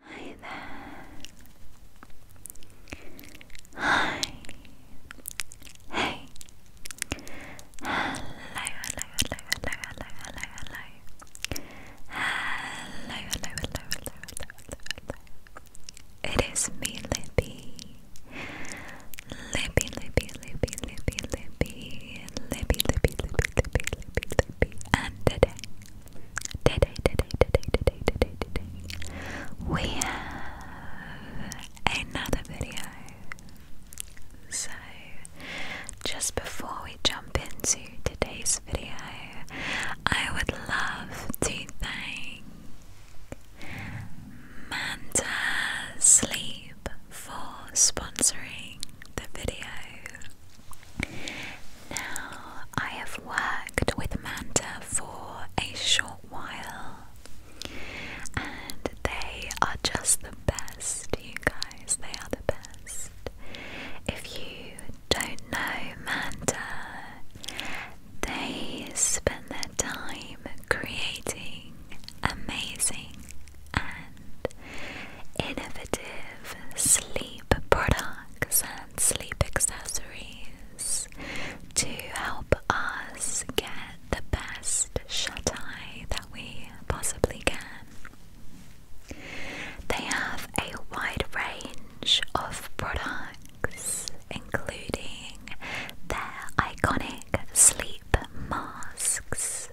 Hi there. Hi. Hey. Hello, hello, hello, hello, hello, hello, hello. Hello, hello, hello, hello, hello, It is me, Libby. Libby, Libby, Libby, Libby, Libby, Libby, Libby, Libby, Libby, Libby, Libby, and today Today, today, today, today, today, today, we have another video. So, just before we jump into today's video, I would love to thank Manta Sleep for sponsoring the video. Now, I have worked with Amanda for a short while, and they are just the best, you guys. They are the best. If you don't know Manta, they spend their time creating amazing and innovative sleep products sleep accessories to help us get the best shut eye that we possibly can. They have a wide range of products, including their iconic sleep masks.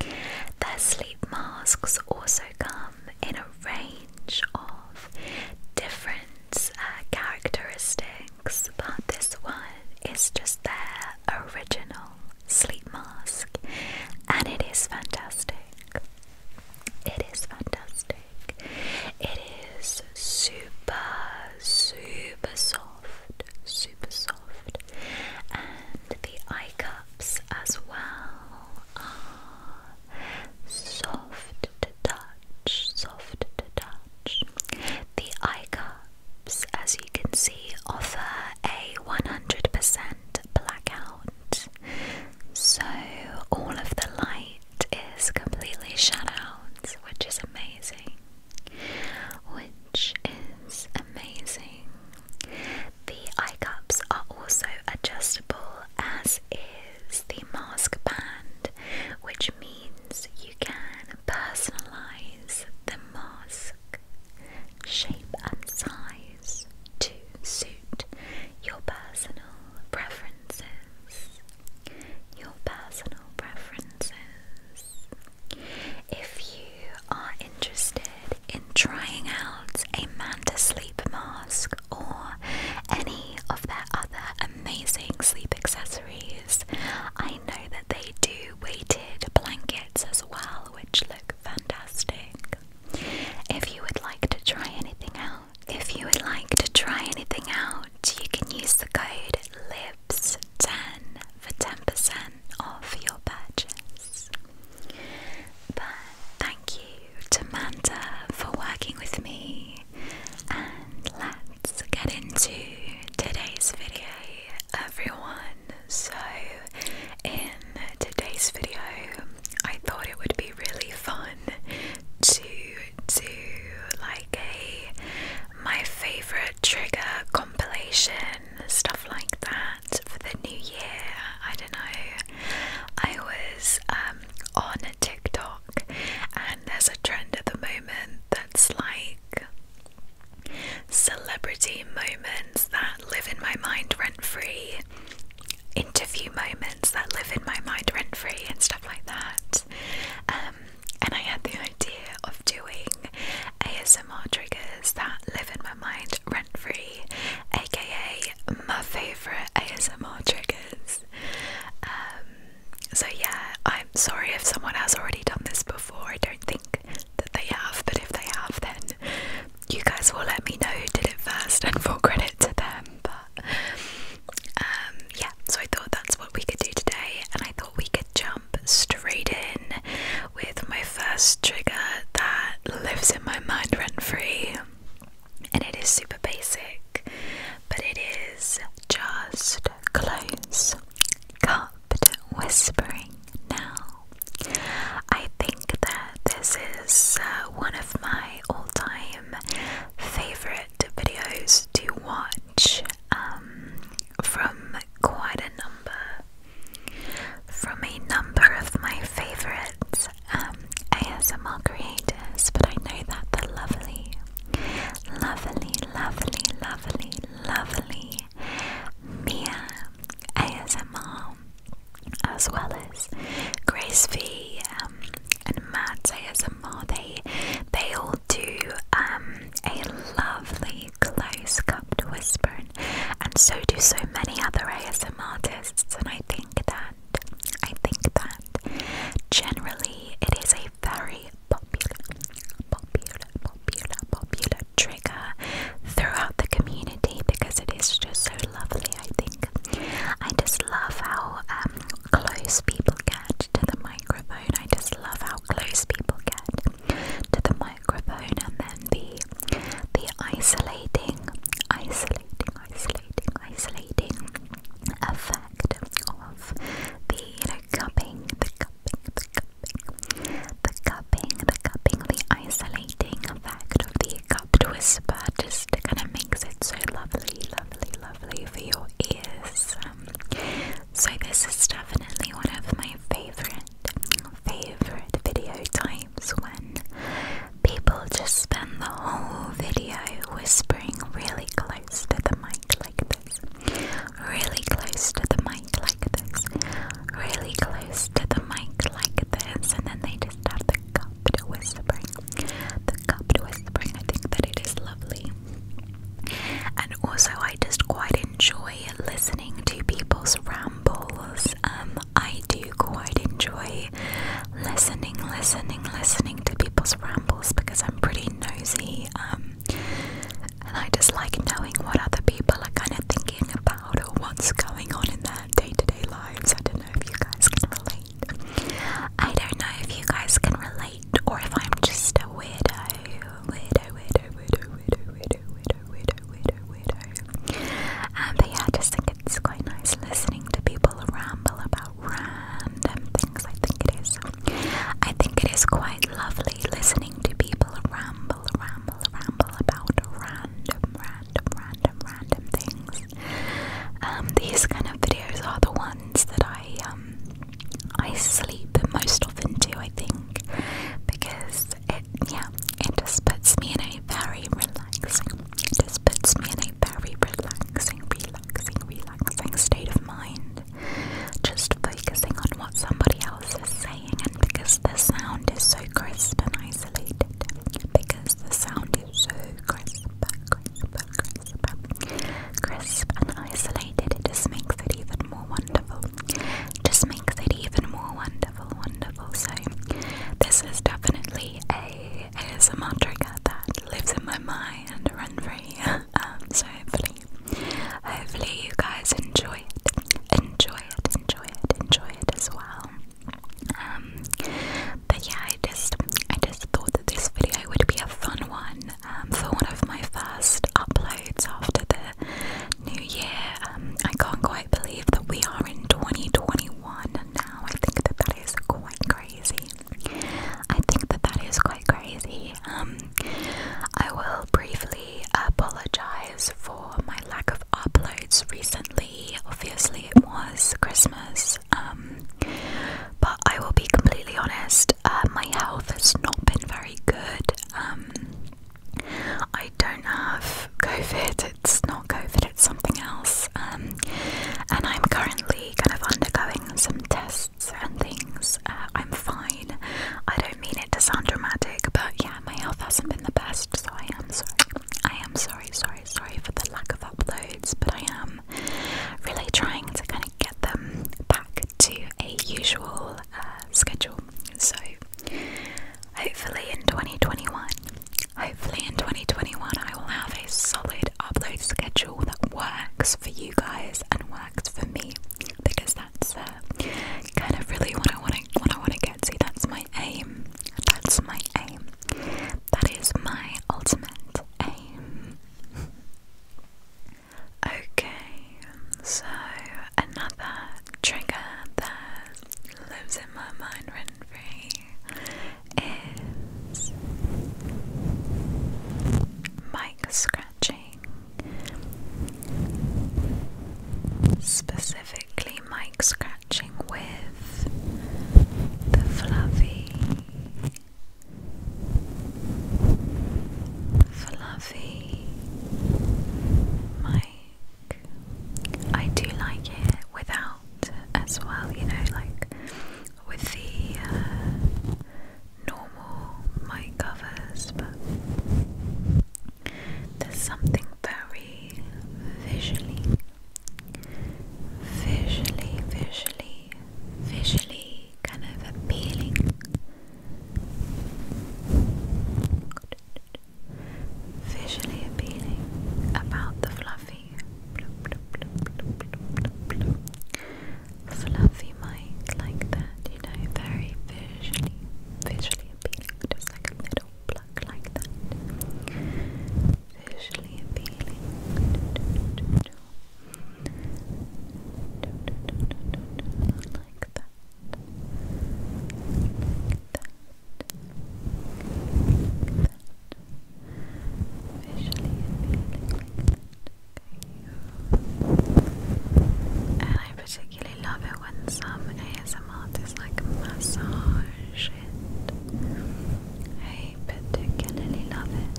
Their sleep masks also come in a range of different uh, characteristics, but this one is just their original sleep mask, and it is fantastic. It is fantastic. It is super, super soft, super soft, and the eye cups as well are soft to touch, soft to touch. The eye cups, as you can see, offer a 100% blackout, so all of the light is completely shut out, which is amazing. Which is amazing. The eye cups are also adjustable, as is the mask band, which means you can personalize the mask shape and size to suit your personal preferences. Your personal preferences. If you are interested in trying out a man sleep mask or any of their other amazing sleep accessories. I know that they do weighted blankets as well, which look fantastic. If you would like to try anything out, if you would like to try anything out, you can use the code LIPS 10 for 10% off your purchase. But Thank you to Manda for working with me, and let's get into today's video, everyone. So, in today's video, I thought it would be really fun to do like a my favorite trigger compilation, stuff like that for the new year. I don't know. I was um, on TikTok, and there's a trend at the moment that's like celebrity moments that live in my mind rent free, interview moments that live in my mind rent free, and stuff like that. Um, and I had the idea of doing ASMR triggers that live in my mind rent free, aka my favorite ASMR triggers. Um, so yeah, I'm sorry if someone has already done this before. I don't think that they have, but if they have, then you guys will let me know who did it first, and full credit to them. But um, yeah, so I thought that's what we could do today, and I thought we could jump straight in with my first trigger that lives in my mind rent free and it is super basic, but it is just close cupped whispering now. I think that this is uh, one of my all time favorite videos to watch um, from quite a number. From a number of my favorites, um, as ASMR creators, but I know that the lovely, lovely, lovely, lovely, lovely Mia ASMR, as well as Grace V um, and Matt ASMR, they they all do um, a lovely close cup to whisper, and so do so many other ASMR artists, and I think that. I think that generally it is a very popular, popular, popular, popular trigger throughout the community because it is just so lovely. I think I just love how um, close people get to the microphone. I just love how close people get to the microphone, and then the the isolating, isolating, isolating isolating, effect of the you know cupping, the cupping, the cupping, the cupping, the cupping, the isolating effect of the cupped whisper just kind of makes it so lovely, lovely, lovely for your ears. Um, so this is definitely one of my favorite, favorite video times when people just spend the whole video whispering really close to the mic like this, really close to the mic like this, really close to the mic like this, and then they just have the cupped whispering. The cupped whispering, I think that it is lovely. And also, I just quite enjoy listening to people's rambles. Um, I do quite enjoy be listening, listening, listening to people's rambles because I'm pretty nosy. Um, and I just like knowing what other people are kind of thinking about or what's going on in their day to day lives. I don't know if you guys can relate. I don't know if you guys can relate or if I'm just a weirdo. Weirdo, weirdo, weirdo, weirdo, weirdo, weirdo, weirdo, weirdo, weirdo. Um, but yeah, I just think it's quite nice listening to people ramble about random things. I think it is. I think it is quite lovely listening to people ramble, ramble, ramble about random, random, random, random things. Um, these kind of videos are the ones that I um I sleep most often to. I think because it yeah it just puts me in a very relaxing. It just puts me in a very relaxing, relaxing relaxing, state of mind. Just focusing on what somebody else is saying, and because the sound is so crisp and isolated, because the sound is so crisp, crisp, crisp, crisp and isolated, it just makes it even more wonderful. Just makes it even more wonderful, wonderful. So, this is definitely a ASMR trigger that lives in my mind fly and run free. Um, so hopefully, hopefully you guys enjoy it, enjoy it, enjoy it, enjoy it as well. Um, but yeah, I just, I just thought that this video would be a fun one um, for one of my first uploads after the new year. I can't quite believe that we are in 2021 now. I think that that is quite crazy. I think that that is quite crazy. Um, I will briefly apologize for my lack of uploads recently. Obviously, it was Christmas, um, but I will be completely honest. Uh, my health has not been very good. Um, I don't have COVID. It's not COVID. It's something else. and I'm currently kind of undergoing some tests breasts things, uh, I'm fine. I don't mean it to sound dramatic, but yeah, my health hasn't been the best, so I am sorry. I am sorry, sorry, sorry for the lack of uploads, but I am really trying to kind of get them back to a usual uh, schedule. So hopefully in 2021, hopefully in 2021, I will have a solid upload schedule that works for you guys and works for me because that's uh, kind of really what I want to what I want to get to. That's my aim. That's my aim. That is my ultimate aim. okay, so another trigger that lives in my mind rent is mic scratching, specifically mic scratching with the fluffy, fluffy mic. I do like it without as well, you know, like with the uh, normal mic covers, but there's something very visually, visually, visually, visually kind of appealing. Visually appealing about the fluffy fluffy mic like that, you know, very visually, visually appealing, just like a middle pluck like that. Visually appealing. Like that. Like that. Like that. Visually appealing like that. And I particularly love it when some ASM artists like massage it. I particularly love it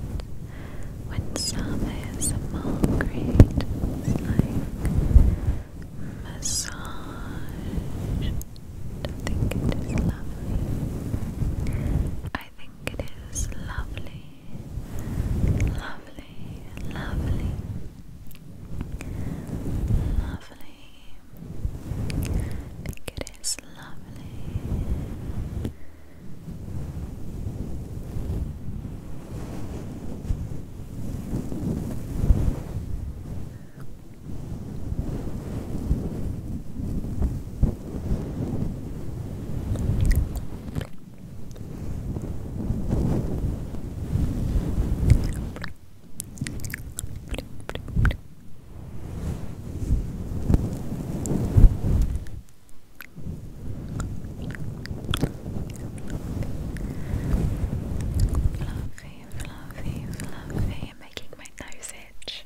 when some ASMR creators like massage. I think it is lovely. I think it is lovely lovely, lovely, lovely. I think it is lovely. Fluffy, fluffy, fluffy, making my nose itch.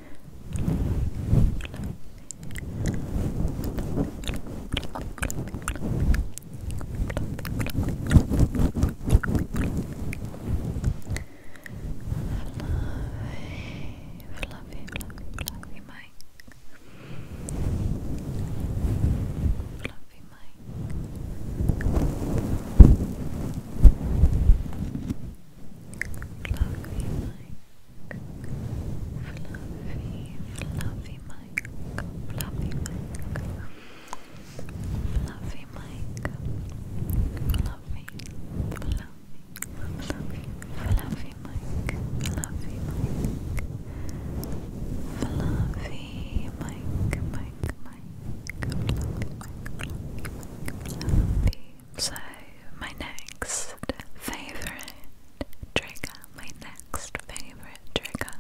Fluffy Mike, Fluffy Mike, Fluffy, Fluffy Mike, Fluffy Mike, Fluffy Mike, Fluffy, Fluffy, Fluffy, Fluffy Mike, Fluffy Mike, Fluffy Mike, Mike, Mike, Fluffy Mike, Fluffy, so, my next favorite trigger, my next favorite trigger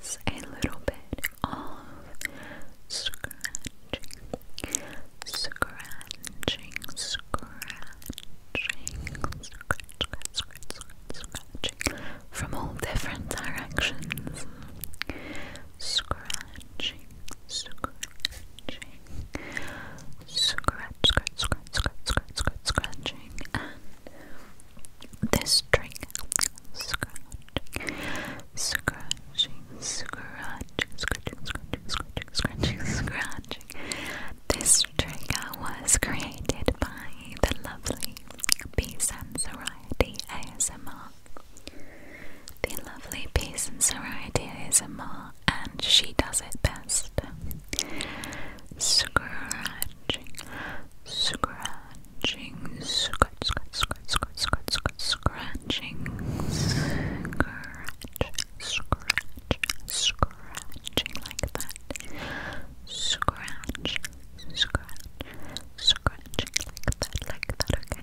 is a little bit of scratching, scratching, scratching, scratch, scratch, scratching from all different directions. Scratching, scratching, scratch, scratch, scratch, scratch, scratch, scratching, this string, scratching, scratching, scratching, scratching, scratching, scratching, scratching. This trigger was created by the lovely and Sensoriety ASMR the lovely piece and variety is a more, and she does it best. Scratching, scratching, scratch, scratch, scratch, scratch, scratch, scratch scratching, scratch, scratch, scratching like that. Scratch, scratch, scratching like that, like that. Okay.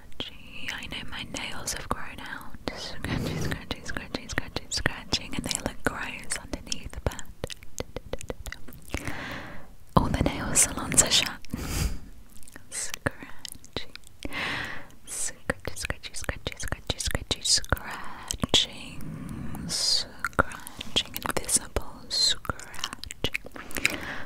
scratchy. I know my nails have grown out. Scratchy, scratchy, scratchy, scratchy, scratching, and they look gross underneath, but all the nail salons are shut. scratchy. Scratchy, scratchy, scratchy, scratchy, scratchy, scratching, scratching, invisible scratching.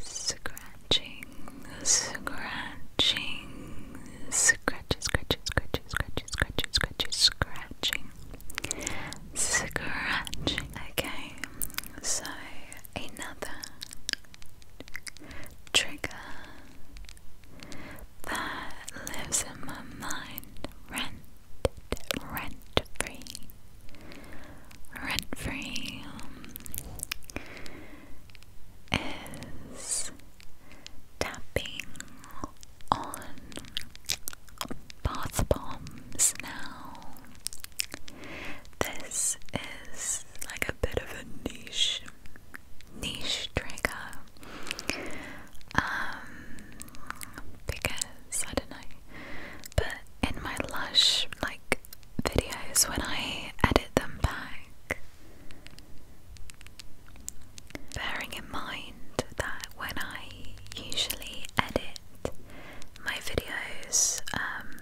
Scratching, scratching, scratch, scratch, scratch, scratch, scratch, scratch, scratching, scratching. Okay, so another trigger that lives in my mind, rent, rent free, rent free. Um, is tapping on bath bombs now. This is like a bit of a niche niche trigger. Um because I don't know. But in my lush like videos when I edit them back Bearing in mind that when I usually edit my videos, um,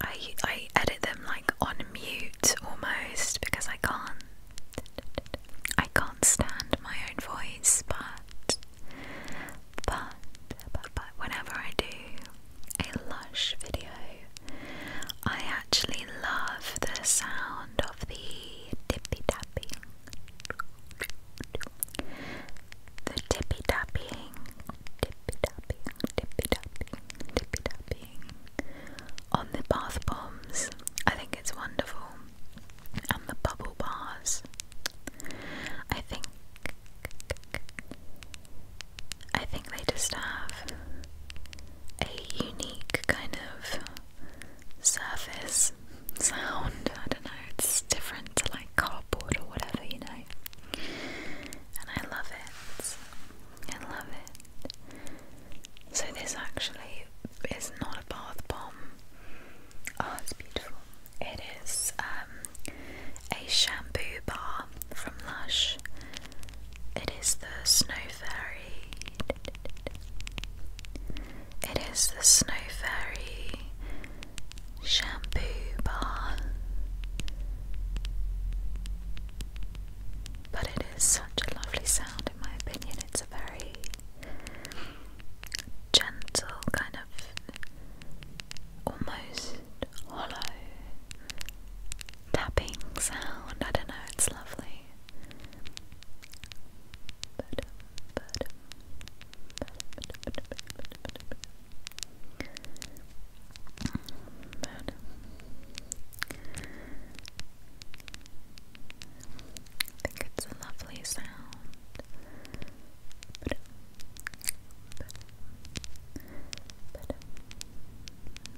I, I edit them like on mute almost because I can't I can't stand my own voice but but but but whenever I do a lush video. I actually love the sound of the tippy tapping. The tippy tapping, tippy tapping, tippy tapping, tippy tapping on the bath bombs. I think it's wonderful. And the bubble bars. I think I think they just have a unique kind of surface sound. I don't know, it's different to like cardboard or whatever, you know. And I love it. I love it. So, this actually is not a bath bomb. Oh, it's beautiful. It is um, a shampoo bar from Lush it is the Snow Fairy. It is the Snow Fairy shampoo bar. But it is such a lovely sound, in my opinion. It's a very gentle, kind of almost hollow tapping sound. I don't know, it's lovely. I think it's a lovely sound.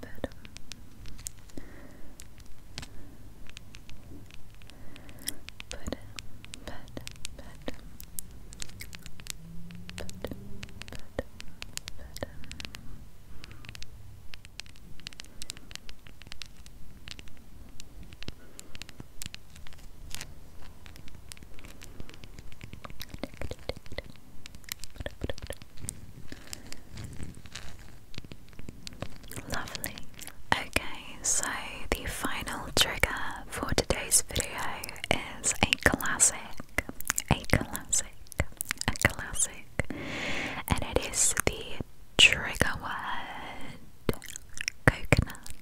But um, but but but but but but um, Lovely. Okay, so the final trigger for today's video is a classic, a classic, a classic, and it is the trigger word coconut.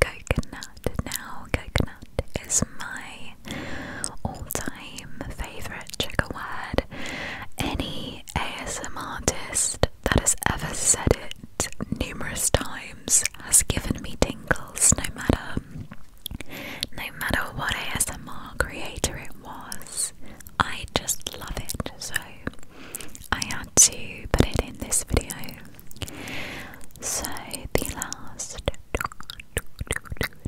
Coconut. Now, coconut is my all-time favorite trigger word. Any ASM artist that has ever said it numerous times has given me tingles, no matter, no matter what ASMR creator it was. I just love it, so I had to put it in this video. So the last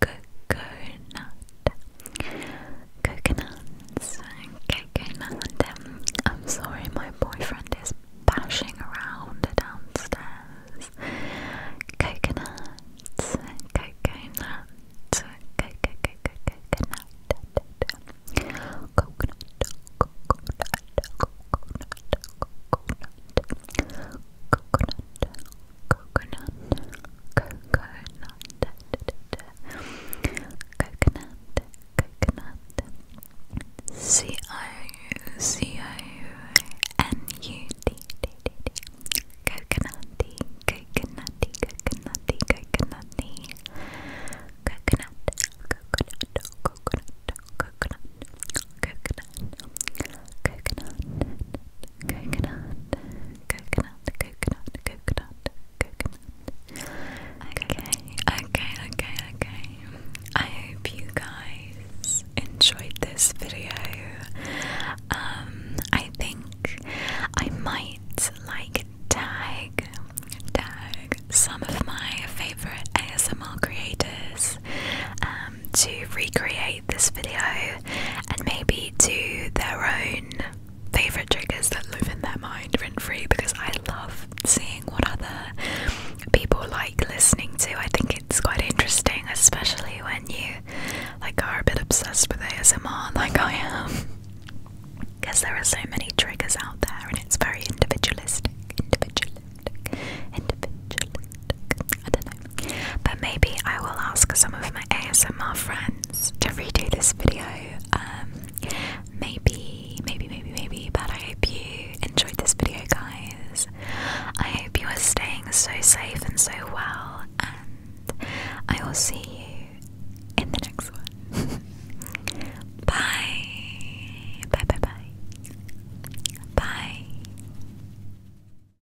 coconut. Coconuts. Coconut. I'm sorry, my boyfriend is bashing around downstairs. Coconuts. Coconut. Coconut. Coconut. Coconut. Coconut. Coconut, coconut, coconut, coconut, coconut, da, da, da, coconut, coconut, C O C O N U T T T T, coconutty, coconutty, coconutty, coconut, coconut, coconut, coconut, coconut coconut, coconut, coconut, coconut, coconut, coconut. Okay, okay, okay, okay. I hope you guys enjoyed this video. Um, I think I might like tag tag some of my favorite ASMR creators. Um, um, to recreate this video and maybe do their own favorite triggers that live in their mind rent free because I love seeing what other people like listening to. I think it's quite interesting, especially when you like are a bit obsessed with ASMR like I am. Because there are so many triggers out there and it's very individualistic. Individualistic. Individualistic. I don't know. But maybe I will ask some of my ASMR friends to redo this video. Um, maybe, maybe, maybe, maybe. But I hope you enjoyed this video, guys. I hope you are staying so safe and so well. And I will see you in the next one. bye. Bye, bye, bye. Bye.